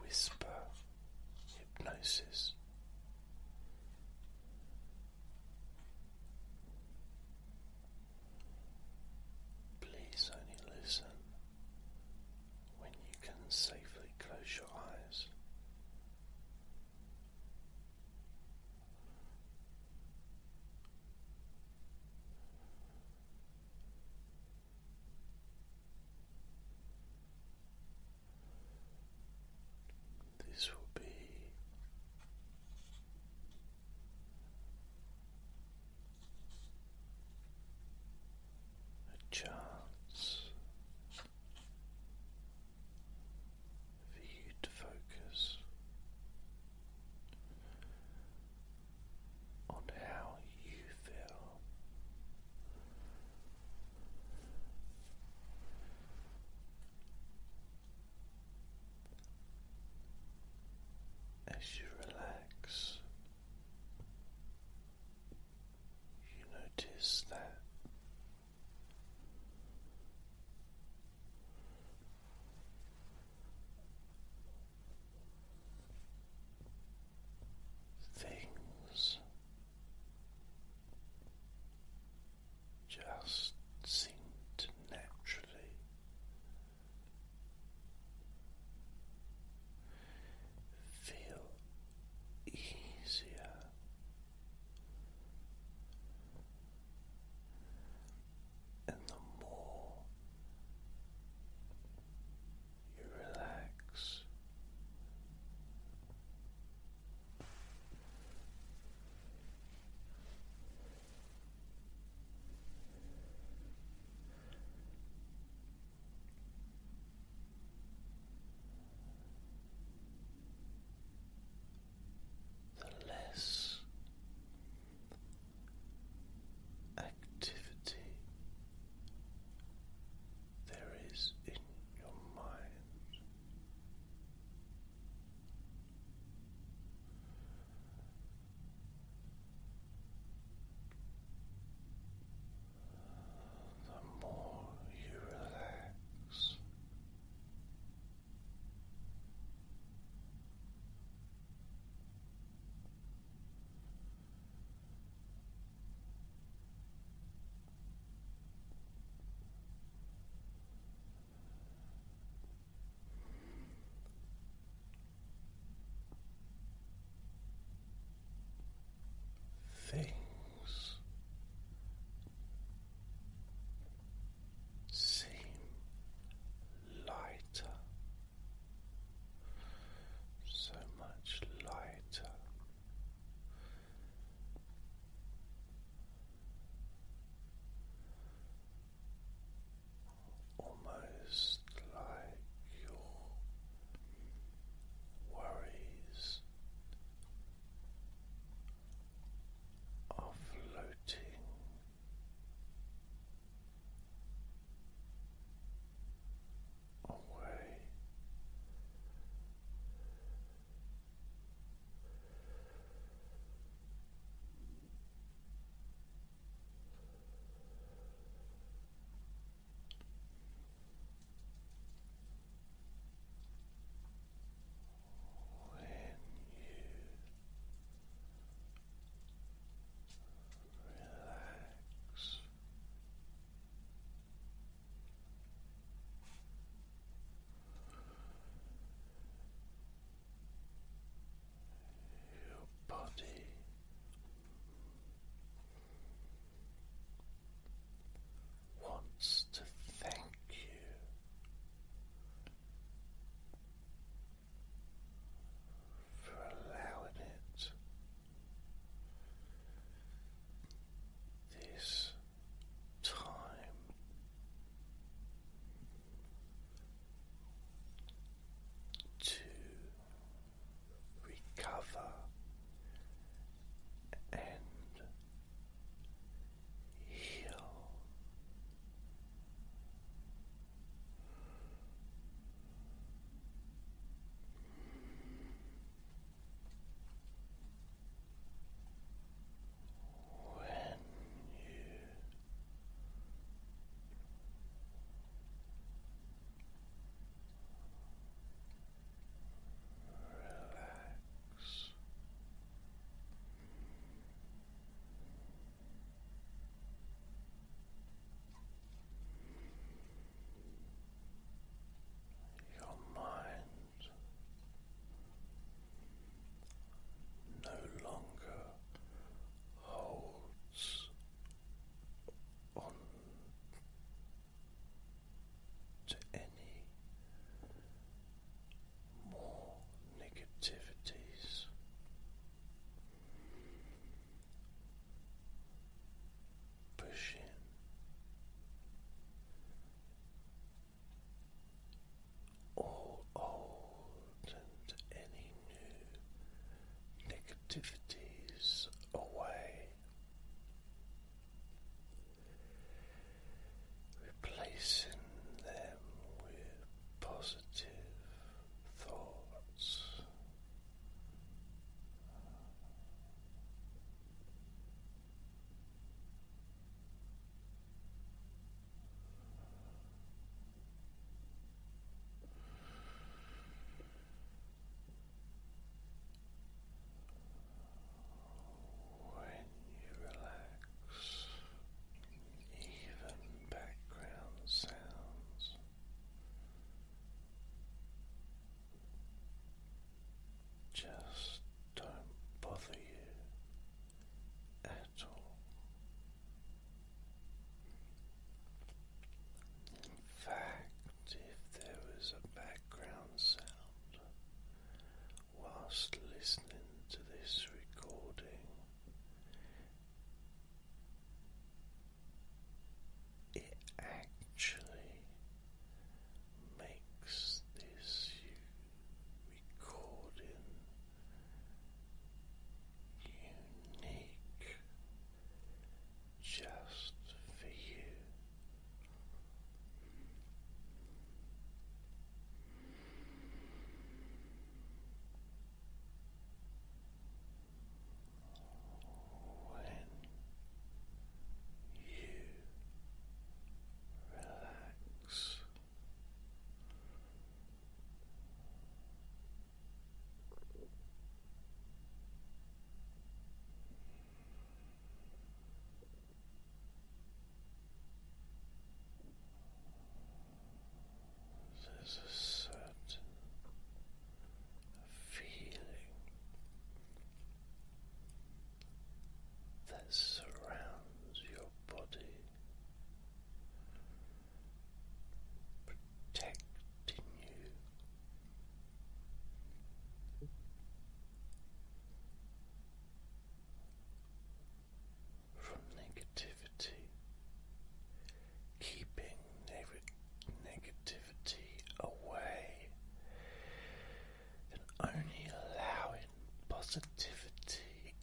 whisper hypnosis. Please only listen when you can safely close your eyes. This will be a chance for you to focus on how you feel as you relax, you notice that things just seem to naturally feel easier. And the more you relax. The less activity there is in your mind. The more you relax, Things seem lighter so much lighter. Almost like your worries are floating away. When you relax your body wants to thank you for allowing it this time. To recover and heal, when you relax. Your mind no longer holds on to any more negativities. Push in. All old and any new negativities away. Replacing them with positive thoughts when you relax, even background sounds just don't bother you at all. In fact, if there was a background sound whilst listening to this recording, it actually makes this recording unique just for you when you relax. Relax. There's a certain feeling that surrounds your body, protecting you from negativity, keeping negativity away, and only allowing positivity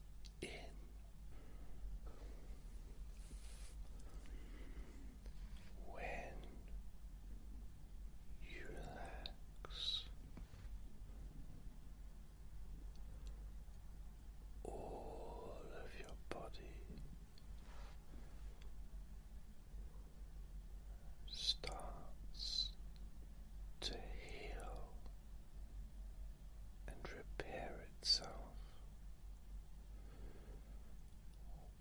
in. When you relax, all of your body starts to heal and repair itself.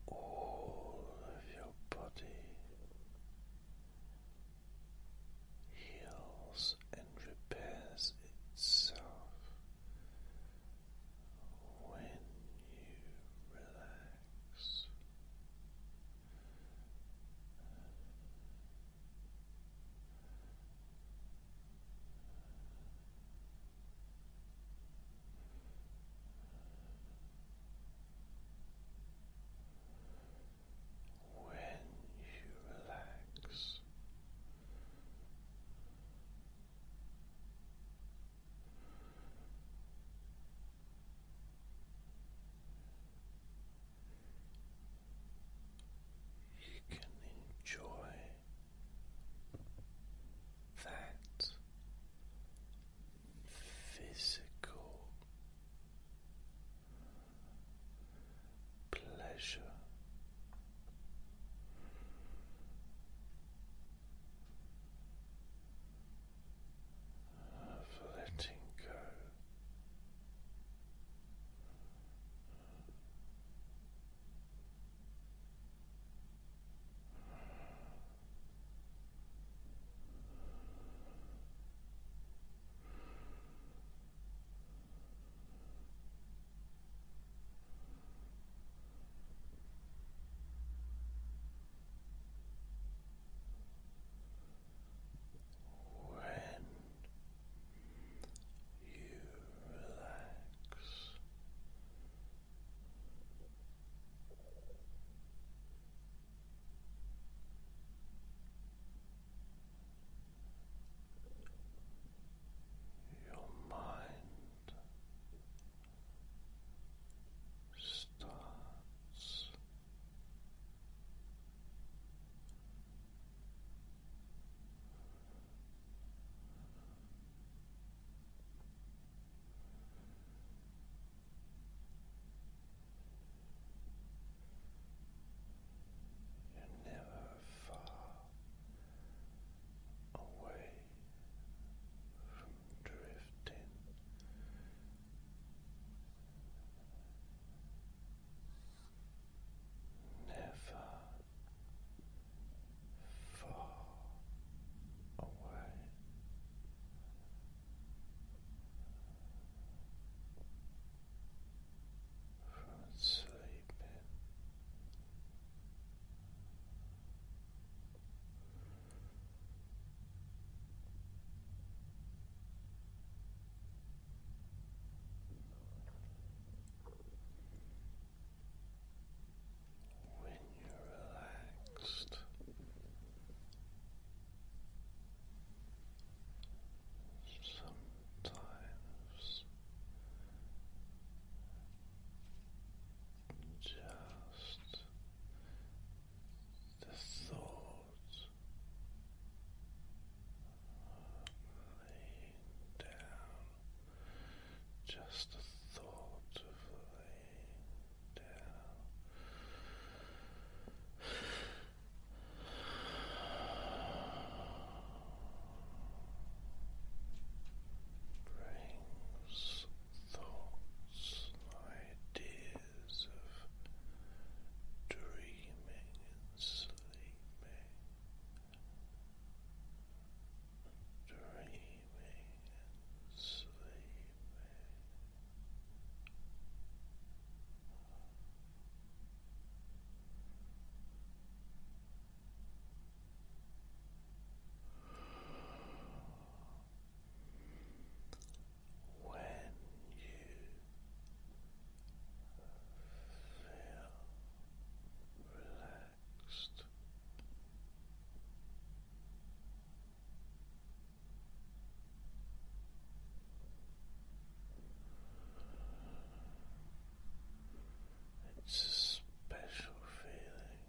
All of your body heals and repairs itself when you relax. When you relax, this. You can enjoy that physical pleasure. Of letting go when you relax, your mind starts you never far away from drifting. Never far away from sleeping. When you're relaxed, sometimes just the thought of laying down, just the thought of laying down brings thoughts ideas of dreaming and sleeping, dreaming and sleeping. When you feel relaxed. It's a special feeling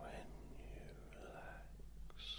when you relax.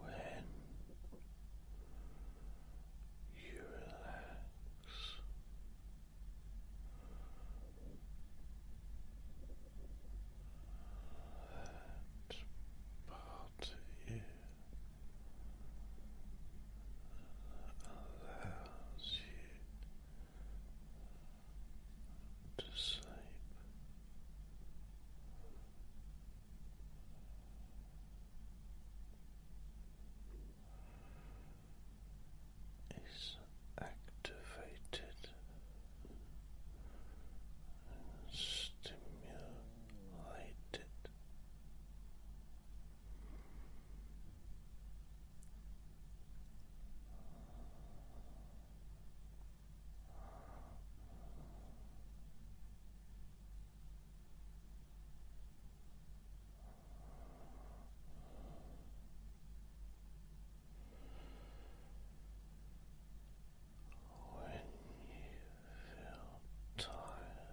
When you relax, that part of you allows you to sleep. Is activated stimulated. When you feel tired,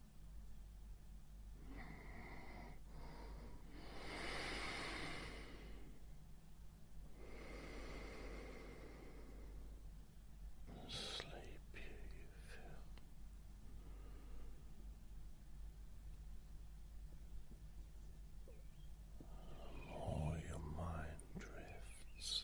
sleepy you feel. The more your mind drifts,